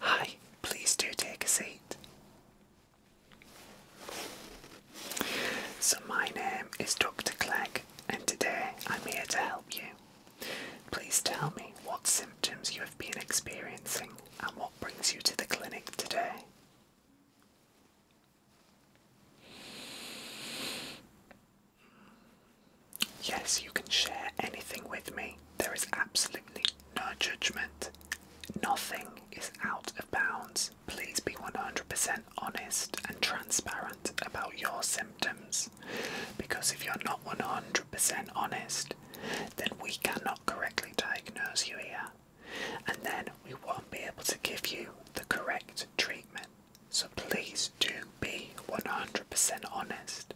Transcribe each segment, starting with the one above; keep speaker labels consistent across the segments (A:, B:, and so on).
A: Hi, please do take a seat. So, my name is Dr. Clegg, and today I'm here to help you. Please tell me what symptoms you have been experiencing and what brings you to the clinic today. Yes, you can share anything with me. There is absolutely no judgment. Nothing is out of bounds. Please be 100% honest and transparent about your symptoms because if you're not 100% honest, then we cannot correctly diagnose you here and then we won't be able to give you the correct treatment. So please do be 100% honest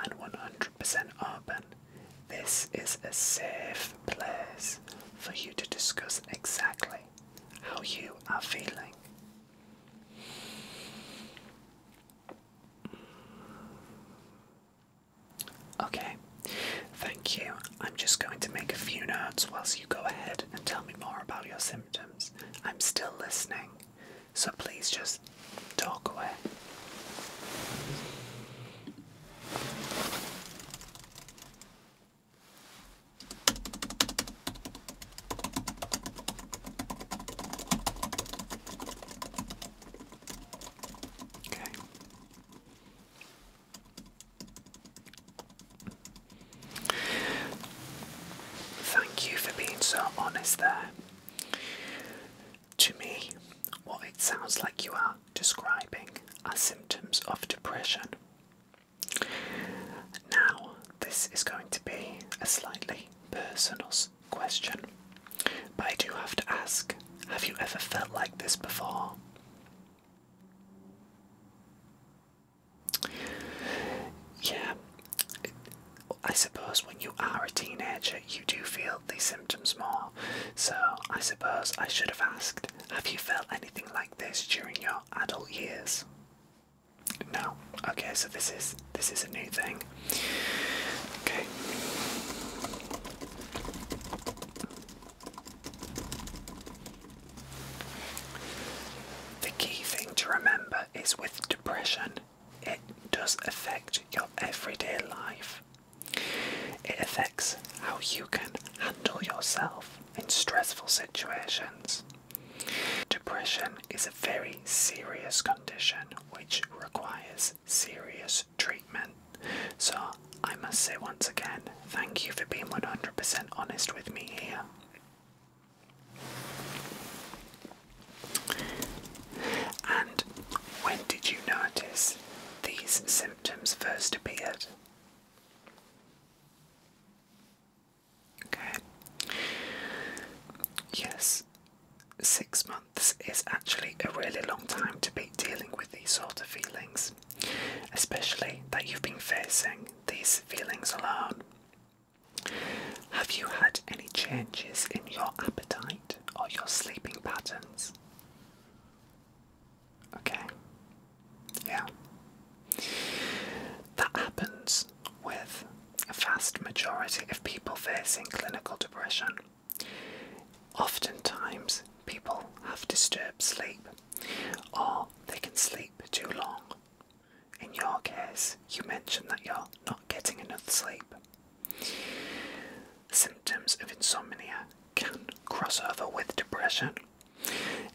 A: and 100% open this is a safe place for you to discuss exactly how you are feeling. Okay, thank you. I'm just going to make a few notes whilst you go ahead and tell me more about your symptoms. I'm still listening. So please just talk away. Okay. Thank you for being so honest there. To me, what it sounds like you are describing are symptoms of depression. Now, this is going to be a slightly personal question, but I do have to ask have you ever felt like this before? Yeah, I suppose when you are a teenager, you do feel these symptoms more. So I suppose I should have asked Have you felt anything like this during your adult years? No. Okay, so this is this is a new thing. Okay. The key thing to remember is with depression, it does affect your everyday life. It affects how you can handle yourself in stressful situations. Depression is a very serious condition which requires serious treatment. So, I must say once again, thank you for being 100% honest with me here. And when did you notice these symptoms first appeared? Okay. Yes, six months is actually a really long time to be dealing with these sort of feelings, especially that you've been facing these feelings alone. Have you had any changes in your appetite? or your sleeping patterns. Okay? Yeah. That happens with a vast majority of people facing clinical depression. Oftentimes, people have disturbed sleep or they can sleep too long. In your case, you mentioned that you're not getting enough sleep. Symptoms of insomnia can cross over with depression.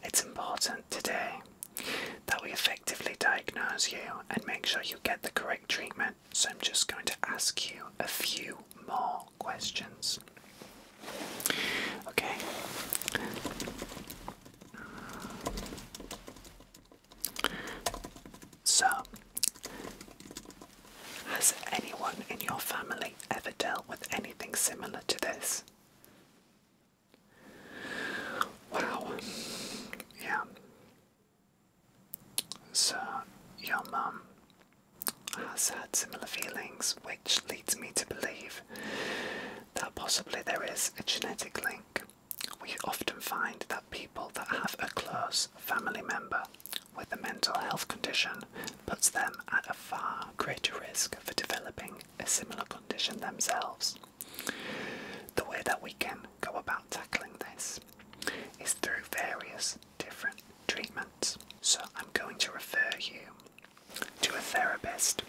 A: It's important today that we effectively diagnose you and make sure you get the correct treatment. So, I'm just going to ask you a few more questions. Okay. So, has anyone in your family ever dealt with anything similar to this? Wow. Yeah. So, your mum has had similar feelings, which leads me to believe that possibly there is a genetic link we often find that people that have a close family member with a mental health condition puts them at a far greater risk for developing a similar condition themselves. The way that we can go about tackling this is through various different treatments. So I'm going to refer you to a therapist.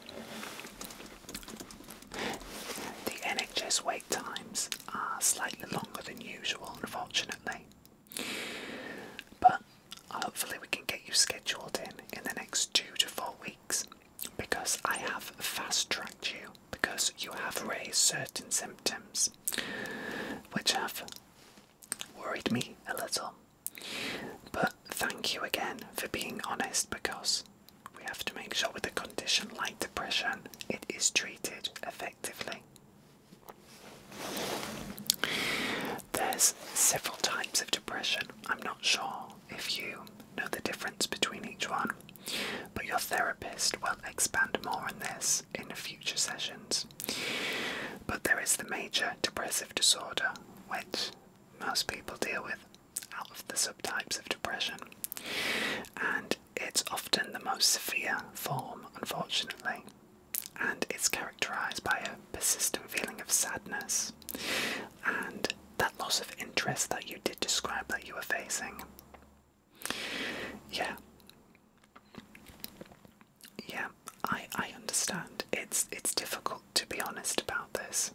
A: The NHS times are slightly longer than usual, unfortunately. But hopefully, we can get you scheduled in in the next two to four weeks because I have fast tracked you because you have raised certain symptoms which have worried me a little. But thank you again for being honest because we have to make sure with a condition like depression it is treated effectively. There's several types of depression. I'm not sure if you know the difference between each one, but your therapist will expand more on this in future sessions. But there is the major depressive disorder, which most people deal with out of the subtypes of depression, and it's often the most severe form, unfortunately, and it's characterized by a persistent feeling of sadness and that loss of interest that you did describe that you were facing. Yeah. Yeah, I I understand. It's it's difficult to be honest about this.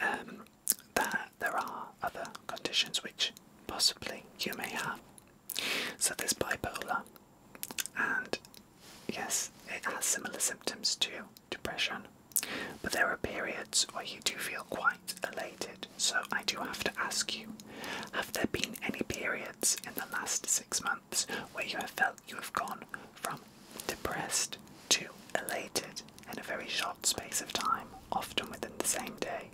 A: Um, that there are other conditions which possibly you may have. So there's bipolar, and yes, it has similar symptoms to depression, but there are periods where you do feel quite elated. So I do have to ask you have there been any periods in the last six months where you have felt you have gone from depressed to elated in a very short space of time, often within the same day.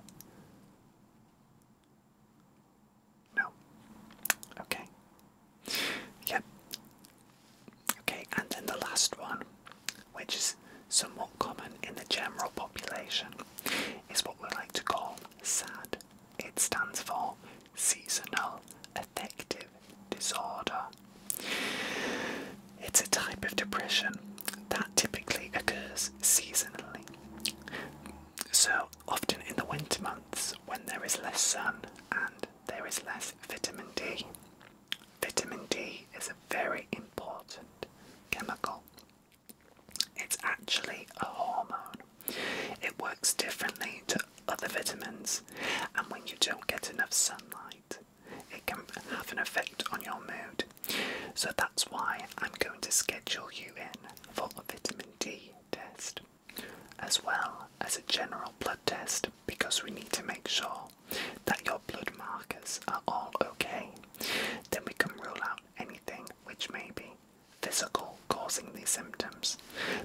A: No. Okay. Yep. Okay, and then the last one, which is somewhat common in the general population, is what we like to call SAD. It stands for Seasonal Affective Disorder. It's a type of depression that typically occurs seasonally. So, often in the winter months when there is less sun and there is less vitamin D. Vitamin D is a very important chemical. It's actually a hormone. It works differently to other vitamins, and when you don't get enough sunlight, it can have an effect on your mood. So that's why I'm going to schedule you in for a vitamin D test as well as a general blood test because we need to make sure that your blood markers are all okay. Then we can rule out anything which may be physical causing these symptoms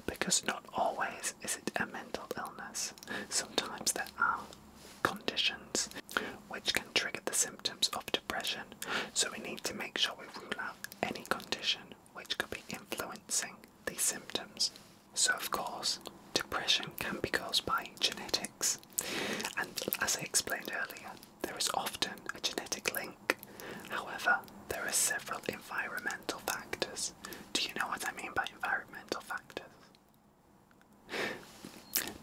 A: because not always is it a mental illness. Sometimes there are conditions which can trigger the symptoms of depression, so we need to make sure we rule out any condition which could be influencing the symptoms. So, of course, depression can be caused by genetics, and as I explained earlier, there is often a genetic link. However, there are several environmental factors. Do you know what I mean by environmental factors?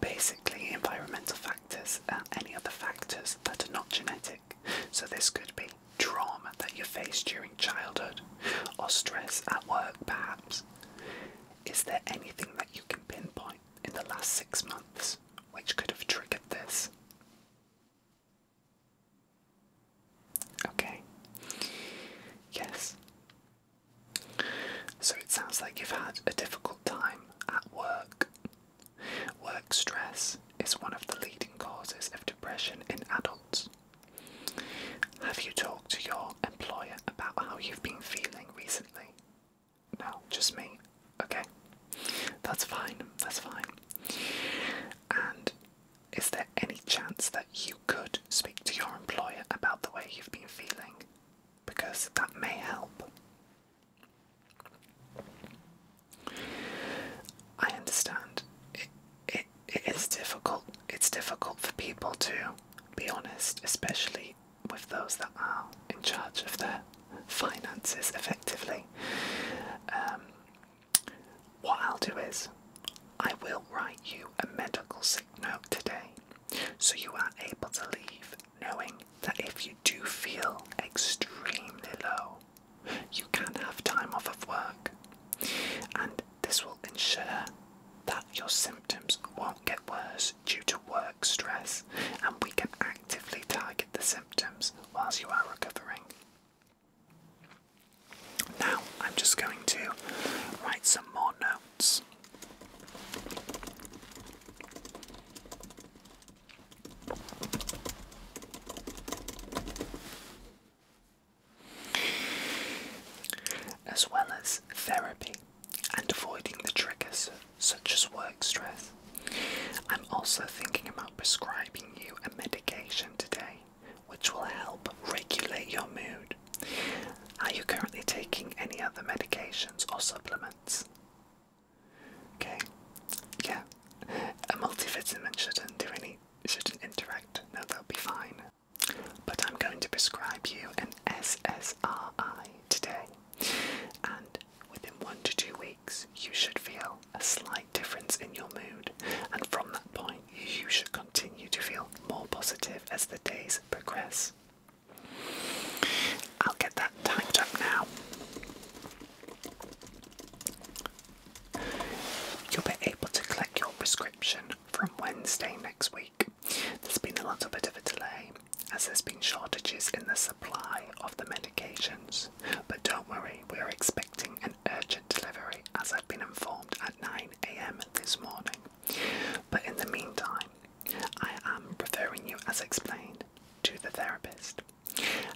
A: Basically, environmental factors and any other factors that are not genetic. So, this could be trauma that you faced during childhood or stress at work, perhaps. Is there anything that you can pinpoint in the last six months which could have triggered this? Okay. Yes. So it sounds like you've had a difficult time at work. Work stress is one of the leading causes of depression in adults. Have you talked to your employer about how you've been feeling recently? No, just me. Okay. That's fine, that's fine. And is there any chance that you could speak to your employer about the way you've been feeling? because that may help. I understand it, it is difficult. It's difficult for people to be honest, especially with those that are in charge of their finances effectively. Um, what I'll do is, I will write you a medical today so you are able to leave knowing that if you do feel extremely low, you can have time off of work. And this will ensure that your symptoms won't get worse due to work stress, and we can actively target the symptoms whilst you are recovering. Now, I'm just going to write some more notes. As well as therapy and avoiding the triggers such as work stress. I'm also thinking about prescribing you a medication today which will help regulate your mood are you currently taking any other medications or supplements? Okay. Yeah. A multivitamin shouldn't do any shouldn't interact. No, they'll be fine. But I'm going to prescribe you an SSRI today. And within one to two weeks you should feel a slight difference in your mood. And from that point you should continue to feel more positive as the days progress. I'll get that typed up now. You'll be able to collect your prescription from Wednesday next week. There's been a little bit of a delay as there's been shortages in the supply of the medications, but don't worry, we're expecting an urgent delivery as I've been informed at 9am this morning. But in the meantime, I am referring you, as explained, to the therapist,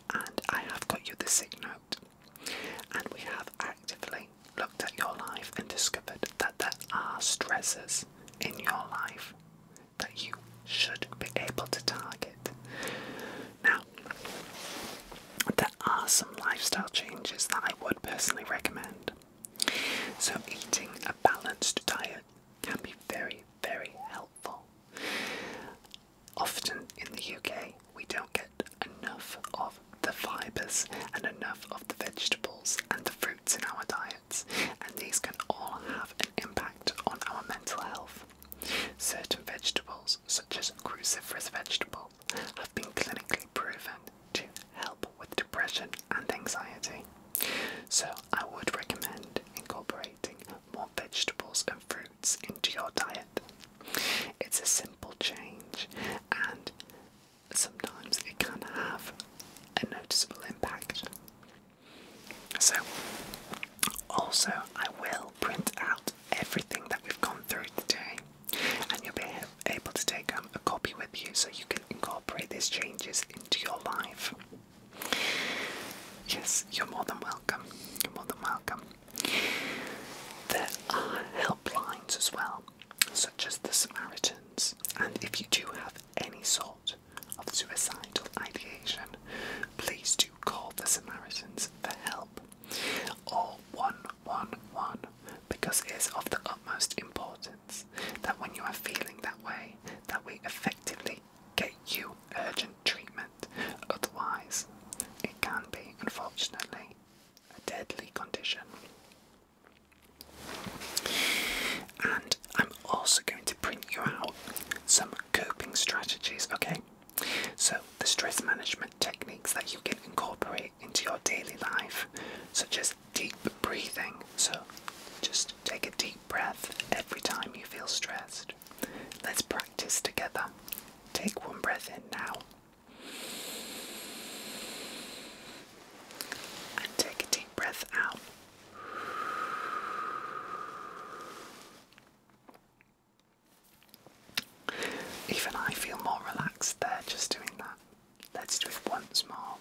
A: and I have got you the sick note, and we have actively looked at your life and discovered that there are stresses in your life that you should be able to target. Now, there are some lifestyle changes that I would personally recommend. So, eating a balanced diet can be very, very helpful. Often in the UK, we don't get enough of the fibres and enough of the vegetables and the fruits in our diets, and these can all have an impact on our mental health. Certain vegetables, such as cruciferous vegetables, have been clinically proven to help with depression and anxiety. So, I would recommend incorporating more vegetables and fruits into your diet. It's a simple change, and sometimes it can have a noticeable impact. So, also, I will print out everything that we've gone through today, and you'll be able to take um, a copy with you so you can incorporate these changes into your life. Yes, you're more than welcome. You're more than welcome. There are helplines as well, such as the Samaritans, and if you do have any sort of suicidal ideation, please do call the Samaritans for help or 111 because it is of the utmost importance that when you are feeling that way, that we effectively get you urgent treatment. Otherwise, it can be, unfortunately, a deadly condition. And I'm also going to print you out some coping strategies, okay? So, the stress management techniques that you can incorporate into your daily life, such as deep breathing. So just take a deep breath every time you feel stressed. Let's practice together. Take one breath in now. And take a deep breath out. Even I feel more relaxed there just doing that. Let's do it once more.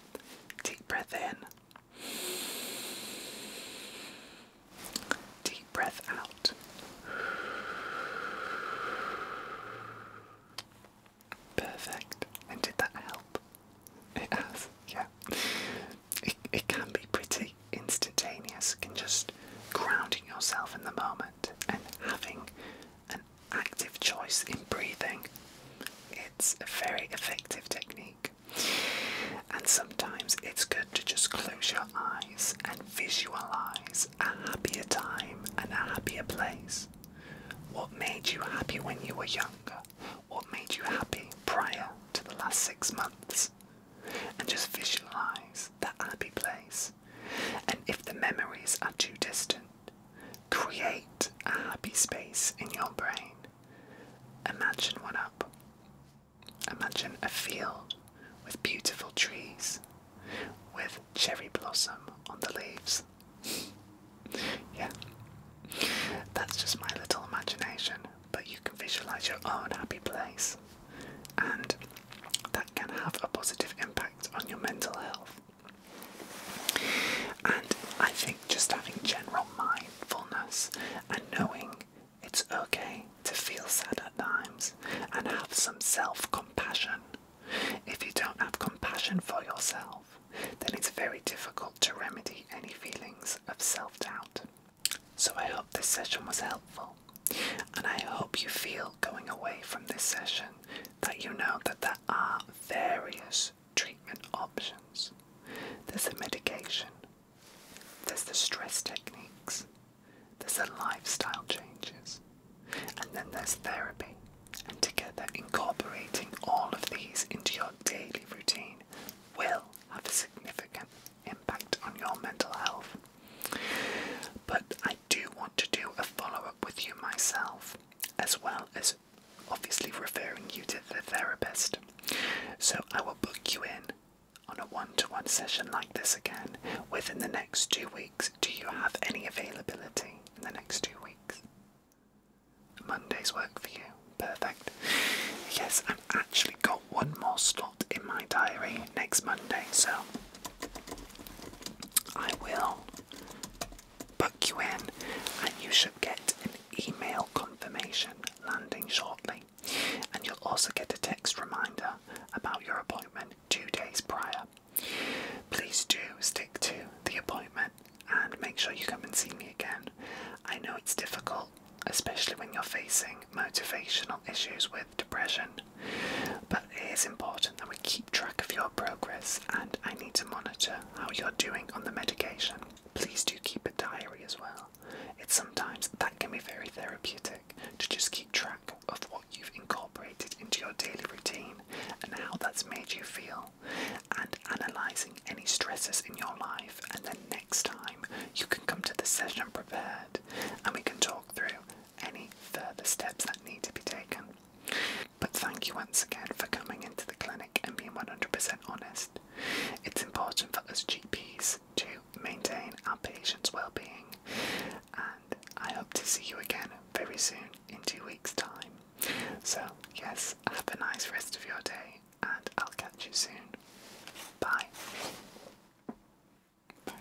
A: Deep breath in. Deep breath out. Perfect. And did that help? It has, yeah. It, it can be pretty instantaneous, can just grounding yourself in the moment and having active choice in breathing. It's a very effective technique. And sometimes it's good to just close your eyes and visualize a happier time and a happier place. What made you happy when you were younger? What made you happy prior to the last six months? And just visualize that happy place. And if the memories are too distant, Create a happy space in your brain. Imagine one up. Imagine a field with beautiful trees with cherry blossom on the leaves. yeah. That's just my little imagination, but you can visualize your own happy place. And that can have a positive impact on your mental health. And I think just having general mindfulness and knowing it's okay to feel sad at times and have some self compassion. If you don't have compassion for yourself, then it's very difficult to remedy any feelings of self doubt. So I hope this session was helpful, and I hope you feel going away from this session that you know that there are various treatment options. There's the medication, there's the stress techniques, there's the lifestyle changes, and then there's therapy. And together, incorporating all of these into your daily routine will have a significant impact on your mental health. But I do want to do a follow up with you myself, as well as obviously referring you to the therapist. So I will book you in on a one to one session like this again within the next two weeks. Do you have any availability in the next two weeks? Mondays work for you. Perfect. Yes, I've actually got one more slot in my diary next Monday, so I will book you in, and you should get an email confirmation landing shortly. And you'll also get a text reminder about your appointment two days prior. Please do stick to the appointment and make sure you come and see me again. I know it's difficult, especially when you're facing motivational issues with depression, but it is important that we keep track of your progress and I need to monitor how you're doing on the medication. Please do keep a diary as well. It's sometimes that can be very therapeutic to just keep track of what you've incorporated into your daily routine and how that's made you feel, and analysing any stresses in your life. And then next time you can come to the session prepared and we can talk through any further steps that need to be taken. But thank you once again for coming into the clinic and being 100% honest. It's important for us GPs to maintain our patients' well-being, and I hope to see you again very soon in two weeks' time. So, yes, have a nice rest of your day, and I'll catch you soon. Bye. Bye.